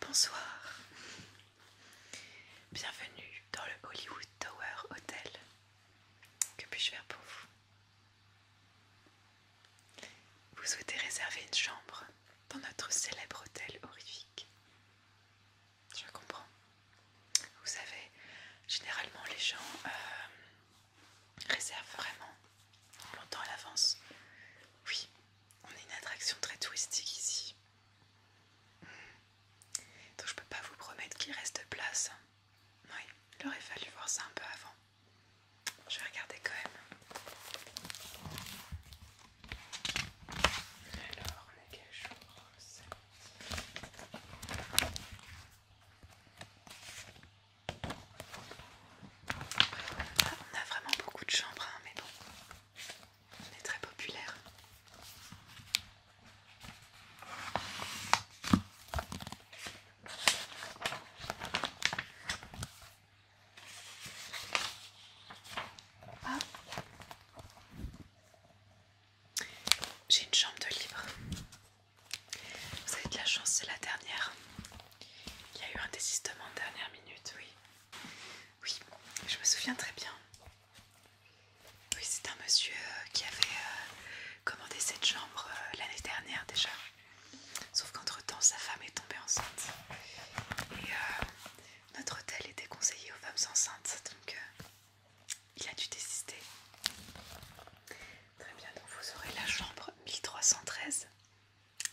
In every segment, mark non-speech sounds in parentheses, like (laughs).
Bonsoir, bienvenue dans le Hollywood Tower Hotel. Que puis-je faire pour vous vous souhaitez réserver une chambre dans notre célèbre hôtel horrifique Je comprends. Vous savez, généralement les gens euh, réservent vraiment longtemps à l'avance. Oui, on est une attraction très touristique ici. Donc je peux pas vous promettre qu'il reste place. Oui, il aurait fallu voir ça un peu avant. Je vais regarder quand même. Alors, les est chambres on a vraiment beaucoup de chambres, hein, mais bon, on est très populaire. J'ai une chambre de libre. Vous avez de la chance, c'est la dernière. Il y a eu un désistement en dernière minute, oui. Oui, je me souviens très bien. Oui, c'est un monsieur euh, qui avait euh, commandé cette chambre euh, l'année dernière déjà. Sauf qu'entre-temps, sa femme est tombée enceinte. Et euh, notre hôtel était conseillé aux femmes enceintes, donc euh, il a dû désister. Très bien, donc vous aurez la chambre 1313.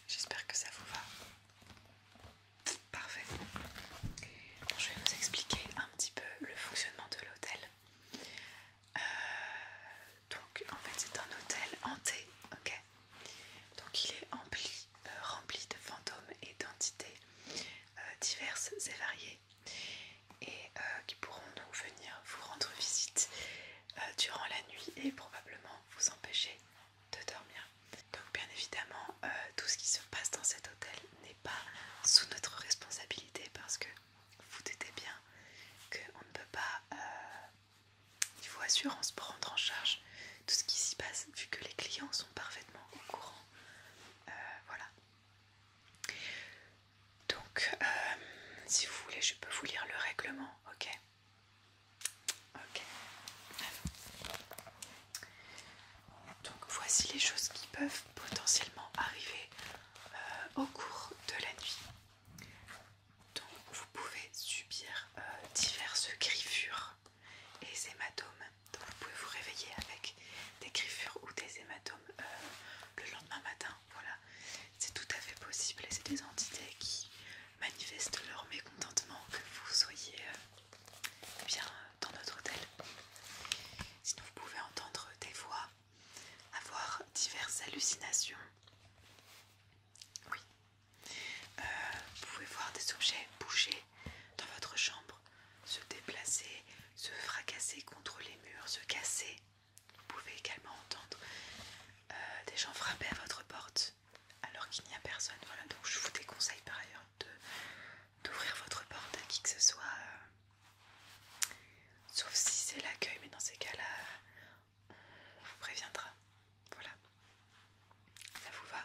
J'espère que ça vous va. Parfait. je vais vous expliquer un petit peu le fonctionnement de l'hôtel. Euh, donc en fait c'est un hôtel hanté, ok donc il est euh, rempli de fantômes et d'entités euh, diverses et variées et euh, qui pourront nous venir vous rendre visite durant la nuit et probablement vous empêcher de dormir. Donc bien évidemment, tout ce qui se passe dans cet hôtel n'est pas sous notre responsabilité parce que vous doutez bien qu'on ne peut pas il faut assurance pour prendre en charge tout ce qui s'y passe, vu que les clients sont parfaitement au courant. Euh, voilà. Donc, euh, si vous voulez, je peux vous lire le règlement, ok Ok. Donc, voici les choses qui peuvent potentiellement arriver euh, au cours de la nuit. Donc vous pouvez subir euh, diverses griffures et hématomes. Donc vous pouvez vous réveiller avec des griffures ou des hématomes euh, le lendemain matin. Voilà, c'est tout à fait possible et c'est des entités qui manifestent leur mécontentement que vous soyez euh, bien dans notre hôtel. Sinon vous pouvez entendre des voix, avoir diverses hallucinations. Oui. Euh, vous pouvez voir des objets bouger dans votre chambre, se déplacer, se fracasser contre les murs, se casser. Vous pouvez également entendre euh, des gens frapper à votre porte alors qu'il n'y a personne. Voilà, donc je vous déconseille par ailleurs d'ouvrir votre porte à qui que ce soit. Euh, sauf si c'est l'accueil, mais dans ces cas-là, on vous préviendra. Voilà. Ça vous va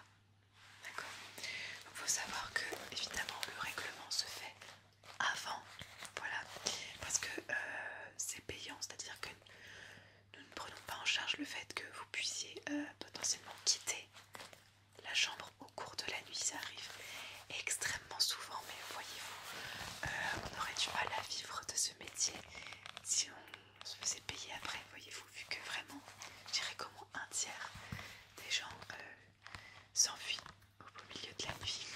D'accord Il faut savoir que, évidemment, le règlement se fait avant. Voilà. Parce que euh, c'est payant, c'est-à-dire que nous ne prenons pas en charge le fait que vous puissiez euh, potentiellement quitter la chambre au cours de la nuit. Ça arrive extrêmement souvent, mais voyez-vous, euh, on aurait du mal à vivre de ce métier si on se faisait payer après, voyez-vous, vu que vraiment, je dirais comment un tiers des gens euh, s'enfuient au milieu de la nuit.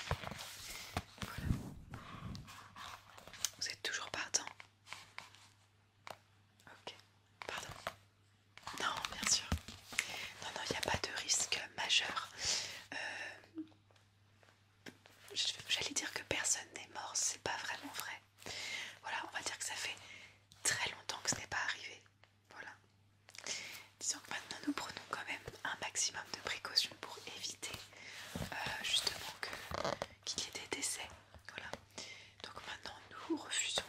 Voilà. Vous êtes toujours partant Ok, pardon. Non, bien sûr. Non, non, il n'y a pas de risque majeur. Euh, J'allais dire que personne n'est mort, c'est pas vraiment vrai. Voilà, on va dire que ça fait très longtemps que ce n'est pas arrivé. Voilà. Disons que maintenant nous prenons quand même un maximum de précautions pour éviter euh, justement qu'il y ait des décès. Voilà. Donc maintenant nous refusons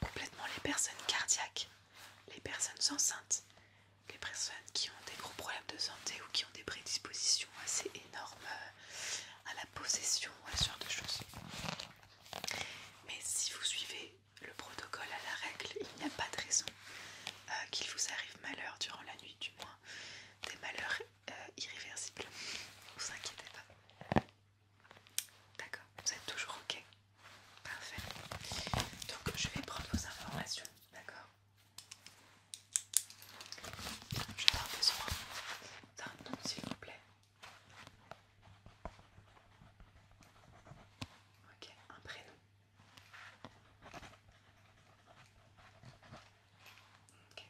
complètement les personnes cardiaques, les personnes enceintes, les personnes qui ont des gros problèmes de santé ou qui ont des prédispositions assez énorme euh, à la possession à ce genre de choses. Mais si vous suivez le protocole à la règle, il n'y a pas de raison euh, qu'il vous arrive malheur durant la nuit, du moins des malheurs euh, irréversibles. Vous inquiétez pas. D'accord, vous êtes toujours ok. Parfait. Donc je vais prendre vos informations, d'accord je pas besoin d'un nom s'il vous plaît. Ok, un prénom. Ok,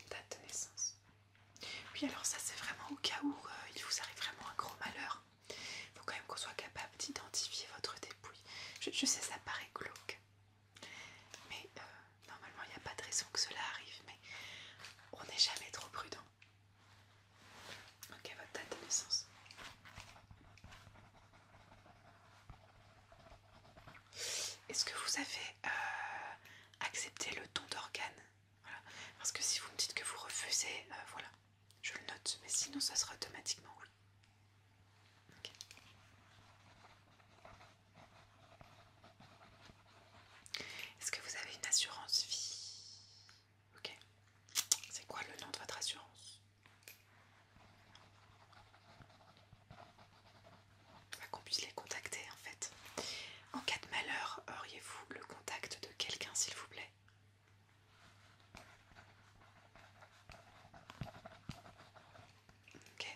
une date de naissance. Oui, alors ça c'est vraiment au cas où euh, il vous arrive vraiment un gros malheur. Il faut quand même qu'on soit capable d'identifier votre dépouille. Je, je sais, ça paraît glauque. Mais euh, normalement, il n'y a pas de raison que cela arrive, mais on n'est jamais trop prudent. Ok, votre date de naissance. Est-ce que vous avez euh, accepté le don d'organe Parce que si vous me dites que vous refusez, euh, voilà, je le note, mais sinon ça sera automatiquement oui. Est-ce que vous avez une assurance vie Ok. C'est quoi le nom de votre assurance Qu'on puisse les contacter en fait. En cas de malheur, auriez-vous le contact de quelqu'un s'il vous plaît Ok.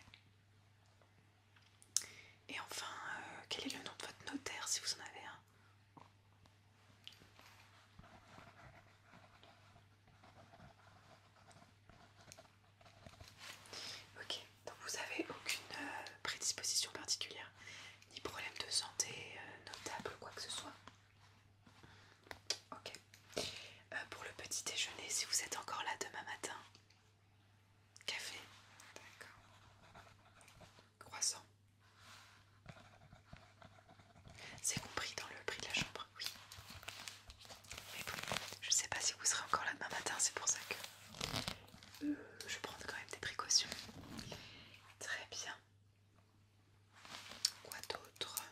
Et enfin, euh, quel est le nom de votre notaire si vous en avez un Ok, donc vous n'avez aucune euh, prédisposition particulière, ni problème de santé euh, notable ou quoi que ce soit. Ok. Euh, pour le petit déjeuner, si vous êtes encore là demain matin, café, croissant. C'est compris dans le prix de la chambre, oui. Mais bon, je sais pas si vous serez encore là demain matin, c'est pour ça que je euh, je prends quand même des précautions. Très bien. Quoi d'autre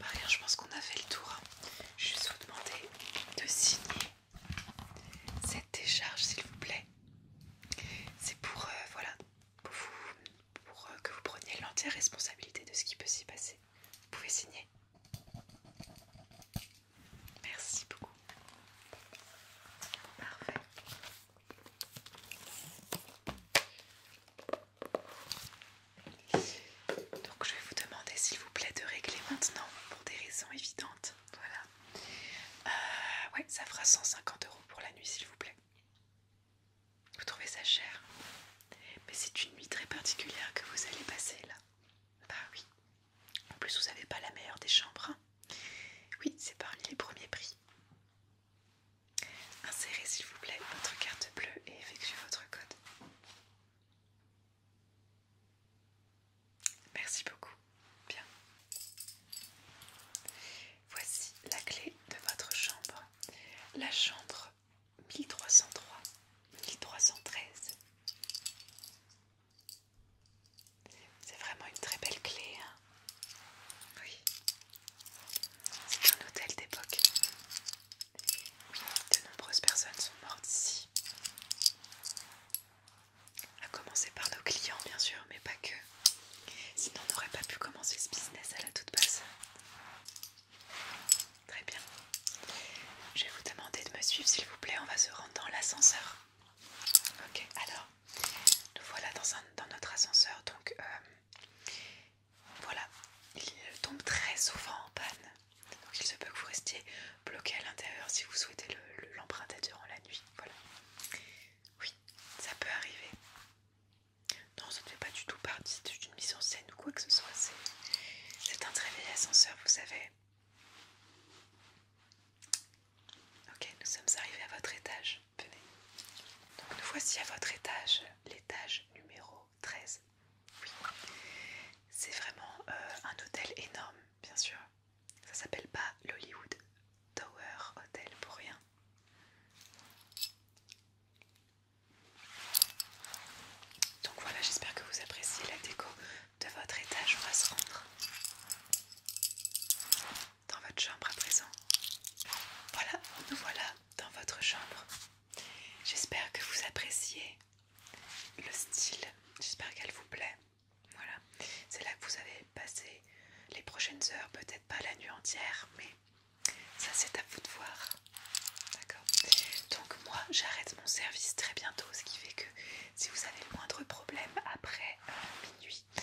Maria, je pense qu'on a fait le tour. Hein. Je vais vous demander de signer cette décharge, s'il vous plaît. C'est pour, euh, voilà, pour, euh, que vous preniez l'entière responsabilité de ce qui peut s'y passer. Vous pouvez signer. Merci beaucoup. Parfait. Donc je vais vous demander s'il vous plaît de régler maintenant pour des raisons évidentes. Voilà. Euh, ouais, ça fera 150 euros pour la nuit s'il vous plaît. Vous trouvez ça cher Mais c'est une nuit très particulière que vous allez passer là. Bah oui. En plus vous n'avez pas la meilleure des chambres. Hein. oui, c'est parmi les premiers prix. Insérez s'il vous plaît votre carte bleue et effectuez votre code. Merci beaucoup. Bien. Voici la clé de votre chambre. La chambre 1303, 1313. C'est vraiment une très belle clé. Hein. oui. C'est un hôtel d'époque. De nombreuses personnes sont mortes ici. A commencer par nos clients, bien sûr, mais pas que. Sinon, on n'aurait pas pu commencer ce business à la toute base. Très bien. Je vais vous demander de me suivre, s'il vous plaît. On va se rendre dans l'ascenseur. Ok, alors, nous voilà dans, dans notre ascenseur. Donc, euh, voilà, il tombe très souvent en panne. Donc il se peut que vous restiez bloqué à l'intérieur si vous souhaitez l'emprunter durant la nuit. Voilà. Oui, ça peut arriver. Non, ça ne fait pas du tout partie d'une mise en scène ou quoi que ce soit. C'est un très vieil ascenseur, vous savez. Ok, nous sommes arrivés à votre étage. Venez. Donc nous voici à votre étage, l'étage numéro 13. Oui. C'est vraiment euh, un hôtel énorme, bien sûr. Ça s'appelle pas l'Hollywood Tower Hotel pour rien. Donc voilà, j'espère que vous appréciez la déco de votre étage. On va se rendre dans votre chambre à présent. Voilà, nous voilà dans votre chambre. J'espère que vous appréciez le style, j'espère qu'elle vous plaît. Voilà, c'est là que vous avez passé les prochaines heures, peut-être pas la nuit entière, mais ça c'est à vous de voir. D'accord Donc moi j'arrête mon service très bientôt, ce qui fait que si vous avez le moindre problème après euh, minuit, et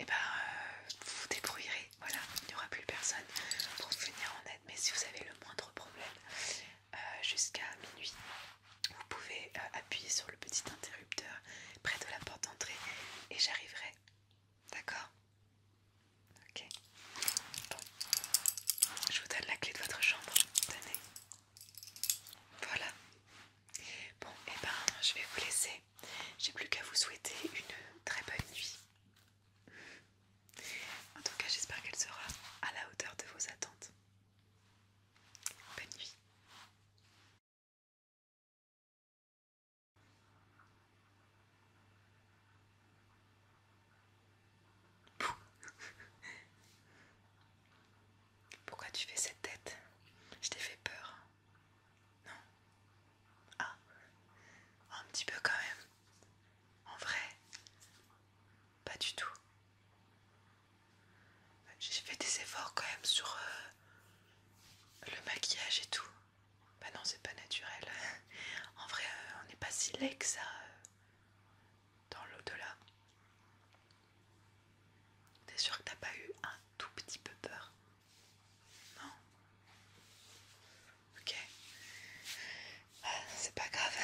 eh ben euh, vous vous débrouillerez voilà, il n'y aura plus personne pour venir en aide. Mais si vous avez le moindre problème, euh, jusqu'à minuit, vous pouvez euh, appuyer sur le petit interrupteur près de la porte d'entrée et j'arriverai. D'accord Ok. Bon. Je vous donne la clé de votre chambre. Tenez. Voilà. Bon, et eh ben, je vais vous laisser. J'ai plus qu'à vous souhaiter une très bonne nuit. En tout cas, j'espère qu'elle sera à la hauteur de vos attentes. Bonne nuit. Pourquoi tu fais cette tête Je t'ai fait peur. Non ah, un petit peu quand même. En vrai, pas du tout. J'ai fait des efforts quand même sur euh, le maquillage et tout. Bah non, c'est pas naturel. (laughs) En vrai, euh, on n'est pas si laid que ça euh, dans l'au-delà. T'es sûr que t'as pas eu un tout petit peu peur Non Ok. Bah, c'est pas grave.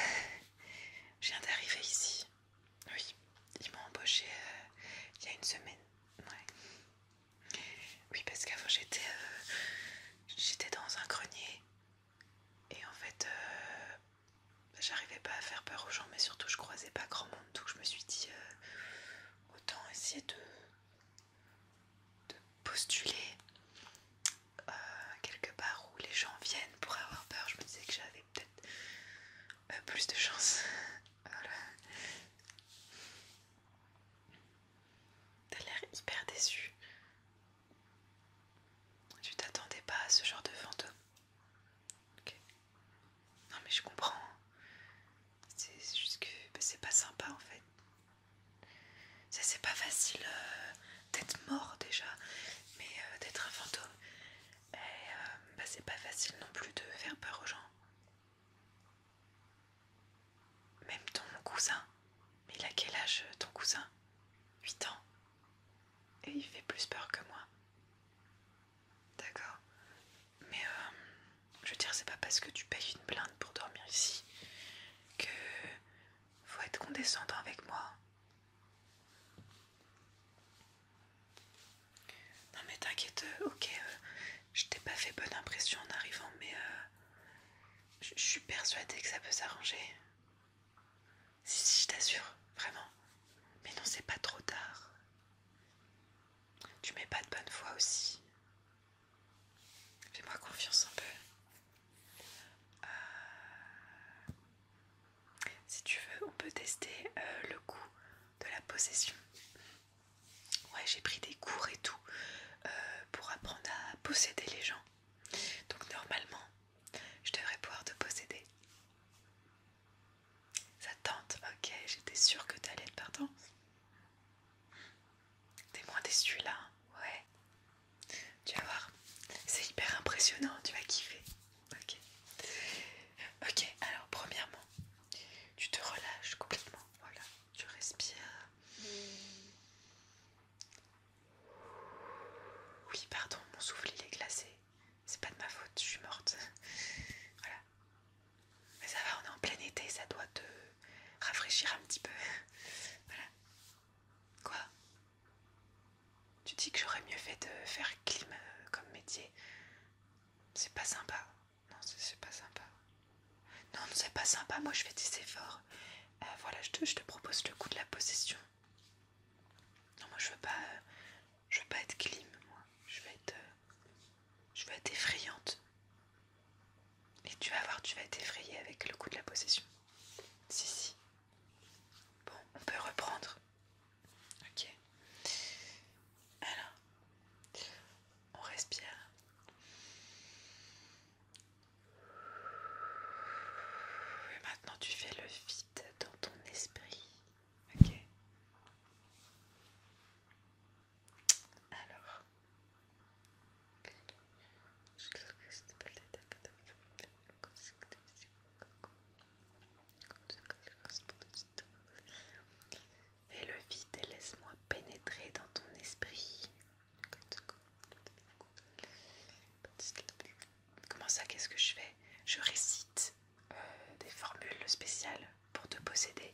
Je viens d'arriver ici. Oui, ils m'ont embauché euh, il y a une semaine. Oui, parce qu'avant j'étais euh, j'étais dans un grenier et en fait euh, j'arrivais pas à faire peur aux gens, mais surtout je croisais pas grand monde, donc je me suis dit autant essayer de de postuler euh, quelque part où les gens viennent pour avoir peur. Je me disais que j'avais peut-être euh, plus de chance (laughs) Tu as l'air hyper déçu. Tu t'attendais pas à ce genre de fantôme. Non mais je comprends. C'est juste que bah, c'est pas sympa en fait. C'est pas facile euh, d'être mort déjà, mais euh, d'être un fantôme, Et euh, bah, c'est pas facile non plus de faire peur aux gens. Même ton cousin, mais il a quel âge ton cousin 8 ans. Et il fait plus peur que moi. D'accord. Mais je veux dire, c'est pas parce que tu payes une blinde pour dormir ici que faut être condescendant avec moi. Non mais t'inquiète, euh, ok, euh, je t'ai pas fait bonne impression en arrivant, mais euh, je suis persuadée que ça peut s'arranger. Si, si, je t'assure, vraiment. Mais non, c'est pas trop tard. Tu mets pas de bonne foi aussi. Fais-moi confiance un peu. Euh, si tu veux, on peut tester euh, le goût de la possession. Ouais, j'ai pris des cours et tout euh, pour apprendre à posséder les gens. Donc normalement, je devrais pouvoir te posséder. Ça tente, ok, j'étais sûre que t'allais être pardon. T'es moins déçu là Ouais. Tu vas voir. C'est hyper impressionnant, tu vas kiffer. Ok. Ok, alors premièrement, tu te relâches complètement. Voilà. Tu respires. Oui, pardon, mon souffle il est glacé. C'est pas de ma faute, je suis morte. (laughs) voilà. Mais ça va, on est en plein été, ça doit te rafraîchir un petit peu. voilà. Quoi Tu dis que j'aurais mieux fait de faire clim euh, comme métier C'est pas sympa. Non, c'est pas sympa. Non, c'est pas sympa. Moi, je fais des efforts. Euh, voilà, je te, propose le coup de la possession. Non, moi, je veux pas, je veux pas être clim. Moi, je veux être, euh, je veux être effrayante. Et tu vas voir, tu vas t'effrayer avec le coup de la possession. Si, si. Bon, on peut reprendre. Ok. Alors, on respire. Et maintenant, tu fais le vide dans ton esprit. Ok. Alors, Fais le vide et laisse-moi pénétrer dans ton esprit. Comment ça, qu'est-ce que je fais Je récite euh, des formules spéciales pour te posséder.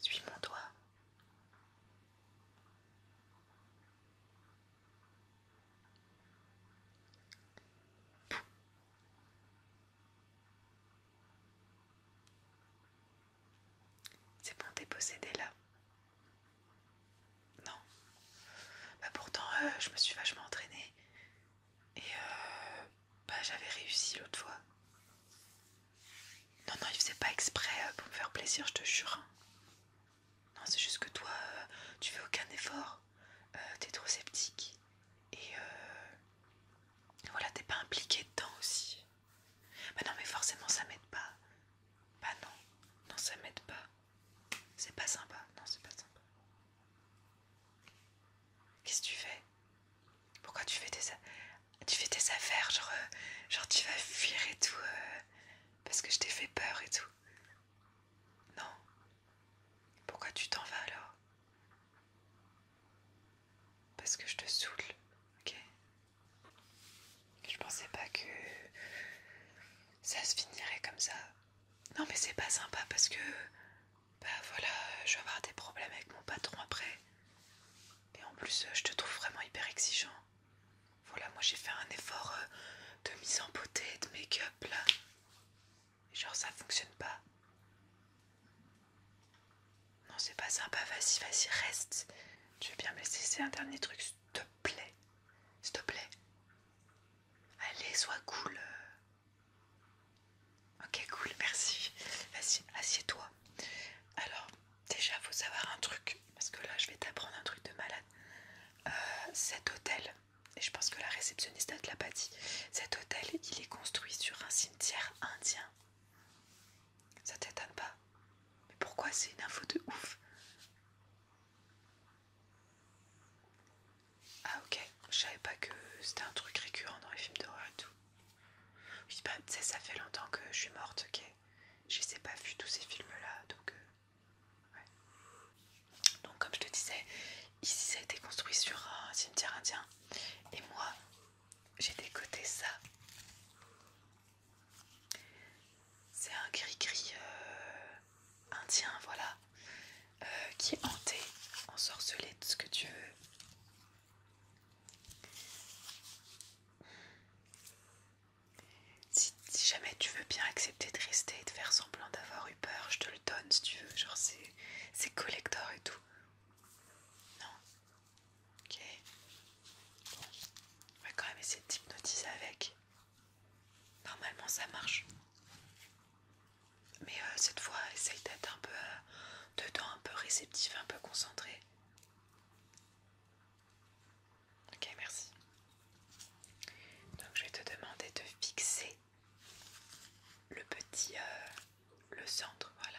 suis mon doigt. C'est bon, dépossédé là. Non. Bah, pourtant, euh, je me suis vachement entraînée. Et euh, bah, j'avais réussi l'autre fois. Non, non, il faisait pas exprès euh, pour me faire plaisir, je te jure. Hein. Non, c'est juste que toi, euh, tu fais aucun effort. t'es trop sceptique. Et voilà, t'es pas impliqué dedans aussi. Bah non, mais forcément, ça m'aide pas. Bah non, non, ça m'aide pas. C'est pas sympa, non, c'est pas sympa. Qu'est-ce que tu fais Pourquoi tu fais tes, tu fais affaires Genre, euh, genre tu vas fuir et tout euh, parce que je t'ai fait peur et tout. Non. Pourquoi tu t'en vas alors Parce que je te saoule, ok Je pensais pas que ça se finirait comme ça. Non mais c'est pas sympa parce que bah voilà, je vais avoir des problèmes avec mon patron après. Et en plus, euh, je te trouve vraiment hyper exigeant. Voilà, moi j'ai fait un effort euh, de mise en beauté, de make-up là. genre ça fonctionne pas. Non, c'est pas sympa, vas-y, vas-y, reste. Tu veux bien me laisser c'est un dernier truc, s'il te plaît. S'il te plaît. Allez, sois cool. Ok, cool, merci. vas assieds-toi. Alors, déjà, faut savoir un truc, parce que là, je vais t'apprendre un truc de malade. Euh, cet hôtel, et je pense que la réceptionniste a te l'a dit, cet hôtel, il est construit sur un cimetière indien. Ça t'étonne pas Mais pourquoi c'est une info de ouf ah ok, je savais pas que c'était un truc récurrent dans les films d'horreur et tout. Je bah tu sais, ça fait longtemps que je suis morte, ok. Je les pas vu tous ces films-là, donc... Euh, ouais. Donc comme je te disais, ici ça a été construit sur un cimetière indien. Et moi, j'ai décoté ça. C'est un gris-gris euh, indien, voilà. Euh, qui est hanté, ensorcelé, tout ce que tu veux. Si, jamais tu veux bien accepter de rester et de faire semblant d'avoir eu peur, je te le donne si tu veux. Genre, c'est collector et tout. Non Ok. On va quand même essayer de t'hypnotiser avec. Normalement, ça marche. Mais euh, cette fois, essaye d'être un peu euh, dedans, un peu réceptif, un peu concentré. Ok, merci. Donc je vais te demander de fixer le petit, euh, le centre, voilà.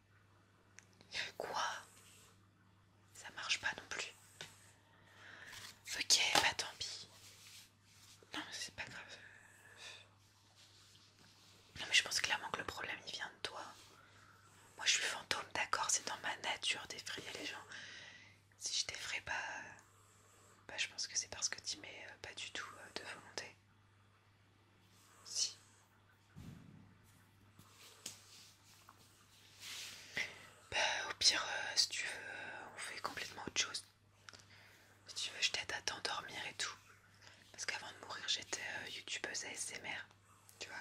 Quoi Ça marche pas non plus. Ok, bah tant pis. Non, c'est pas grave. Non, mais je pense clairement que le problème il vient de toi. Moi je suis fantôme, d'accord, c'est dans ma nature d'effrayer les gens. Si je t'effraie pas, bah, je pense que c'est parce que tu mets euh, pas du tout euh, de volonté. Bah, au pire, euh, si tu veux, euh, on fait complètement autre chose. Si tu veux, je t'aide à t'endormir et tout. Parce qu'avant de mourir, j'étais euh, youtubeuse ASMR, tu vois.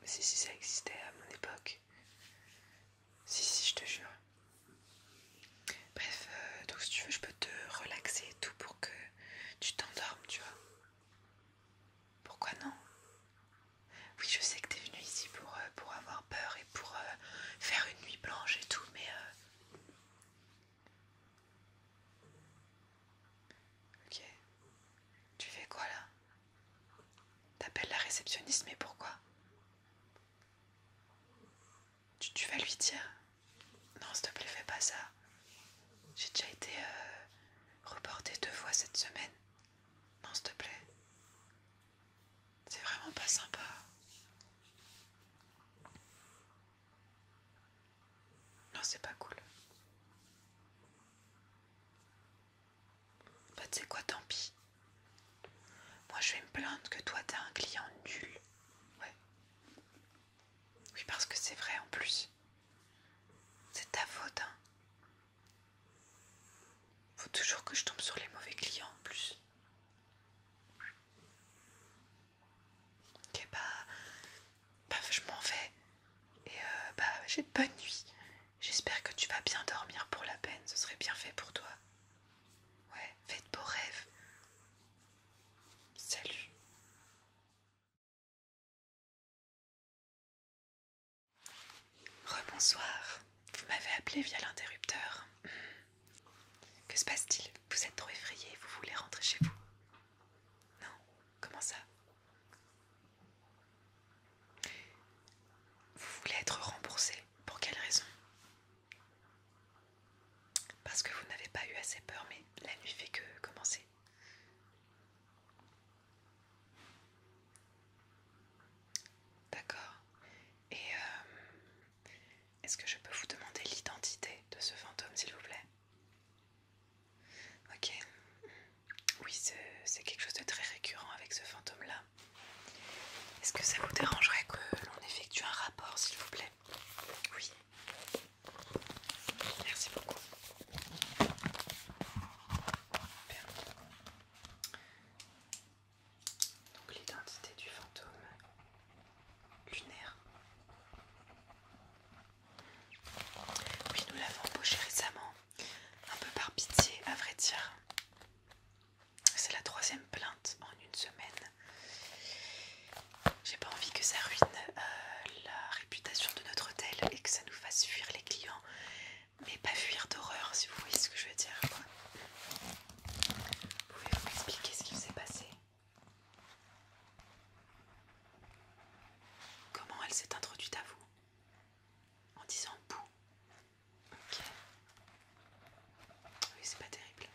Mais si, si, ça existait à mon époque. Si, si, je te jure. Bref, donc si tu veux, je peux te relaxer et tout pour que tu t'endormes, tu vois. Pourquoi non Oui, je sais que t'es venu ici pour, euh, pour avoir peur et pour euh, faire une nuit blanche et tout, mais... Euh. Ok. Tu fais quoi là T'appelles la réceptionniste, mais pourquoi tu, vas lui dire Non, s'il te plaît, fais pas ça. J'ai déjà été euh, reportée deux fois cette semaine. Non, s'il te plaît. C'est vraiment pas sympa. Non, c'est pas cool. Bah, tu sais quoi, tant pis. Moi, je vais me plaindre que toi, t'as un client nul. Ouais. Oui, parce que c'est vrai en plus. C'est ta faute, hein. Faut toujours que je tombe sur les mauvais clients en plus. Ok, bah, bah je m'en vais. Et euh, bah, j'ai de bonne nuit. J'espère que tu vas bien dormir pour la peine. Ce serait bien fait pour toi. Ouais, fais de beaux rêves. Salut. Rebonsoir. Vous m'avez appelé via l'interrupteur. Que se passe-t-il Vous êtes trop effrayé, vous voulez rentrer chez vous Non Comment ça Vous voulez être remboursé Pour quelle raison parce que vous n'avez pas eu assez peur, mais la nuit fait que commencer. D'accord. Et euh, est-ce que je peux vous demander l'identité de ce fantôme, s'il vous plaît Ok. Oui, c'est quelque chose de très récurrent avec ce fantôme-là. Est-ce que ça vous dérangerait que l'on effectue un rapport, s'il vous plaît Oui. Merci beaucoup. Donc l'identité du fantôme lunaire. Oui, nous l'avons embauché récemment, un peu par pitié à vrai dire. C'est la troisième plainte en une semaine. J'ai pas envie que ça ruine euh, la réputation de notre hôtel et que ça nous fasse fuir les clients, mais pas fuir d'horreur si vous voyez ce que je veux dire. Pouvez-vous m'expliquer ce qui s'est passé Comment elle s'est introduite à vous En disant bouh. Ok. Oui, c'est pas terrible.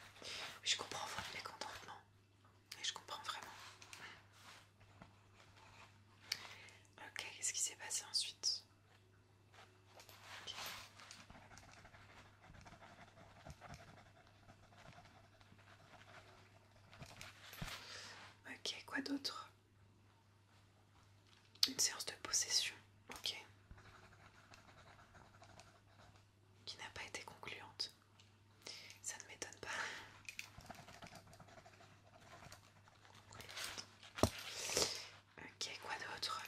Je comprends votre mécontentement. Et je comprends vraiment. Ok, qu'est-ce qui s'est passé ensuite ok, quoi d'autre Une séance de possession, ok qui n'a pas été concluante. Ça ne m'étonne pas. Ok, quoi d'autre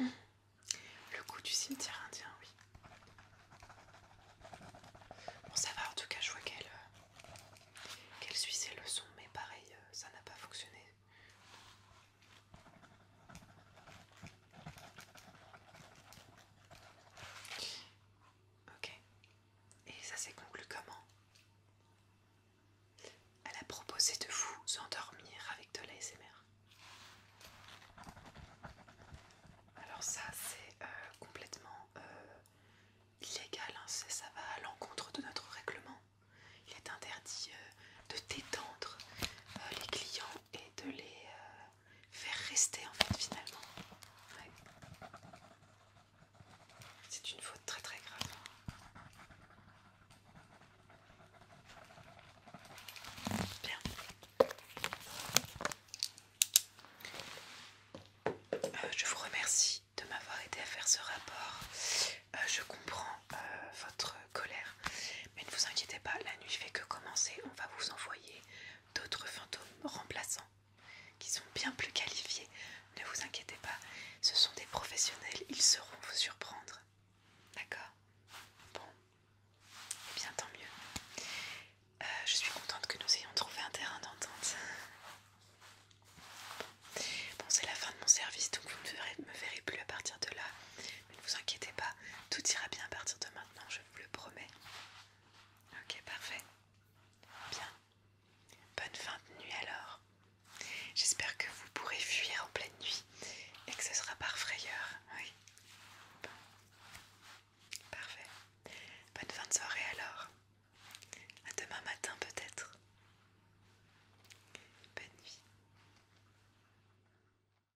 Le coup du cimetière indien, oui. Bon, ça va, en tout cas, je vois qu'elle euh, suit ses leçons, mais pareil, euh, ça n'a pas fonctionné. Ok. Et ça s'est conclu comment Elle a proposé de vous endormir avec de l'ASMR. Alors ça c'est euh, complètement euh, illégal, hein. ça va à l'encontre de notre règlement. Il est interdit euh, de détendre les clients et de les faire rester en fait finalement. C'est une faute très très grave. Bien. Euh, je vous remercie de m'avoir aidé à faire ce rapport. Euh, je comprends euh, votre colère. Mais ne vous inquiétez pas, la nuit fait que commencer, on va vous envoyer d'autres fantômes remplaçants qui sont bien plus qualifiés. Ne vous inquiétez pas, ce sont des professionnels, ils sauront vous surprendre. D'accord Bon. et eh bien, tant mieux. Euh, je suis contente que nous ayons trouvé un terrain d'entente. Bon, c'est la fin de mon service, donc vous ne verrez, me verrez plus à partir de là. Mais ne vous inquiétez pas, tout ira bien à partir de maintenant. Non, je vous le promets. Ok, parfait. Bien. Bonne fin de nuit alors. J'espère que vous pourrez fuir en pleine nuit et que ce sera par frayeur. Oui. Parfait. Bonne fin de soirée alors. À demain matin peut-être. Bonne nuit.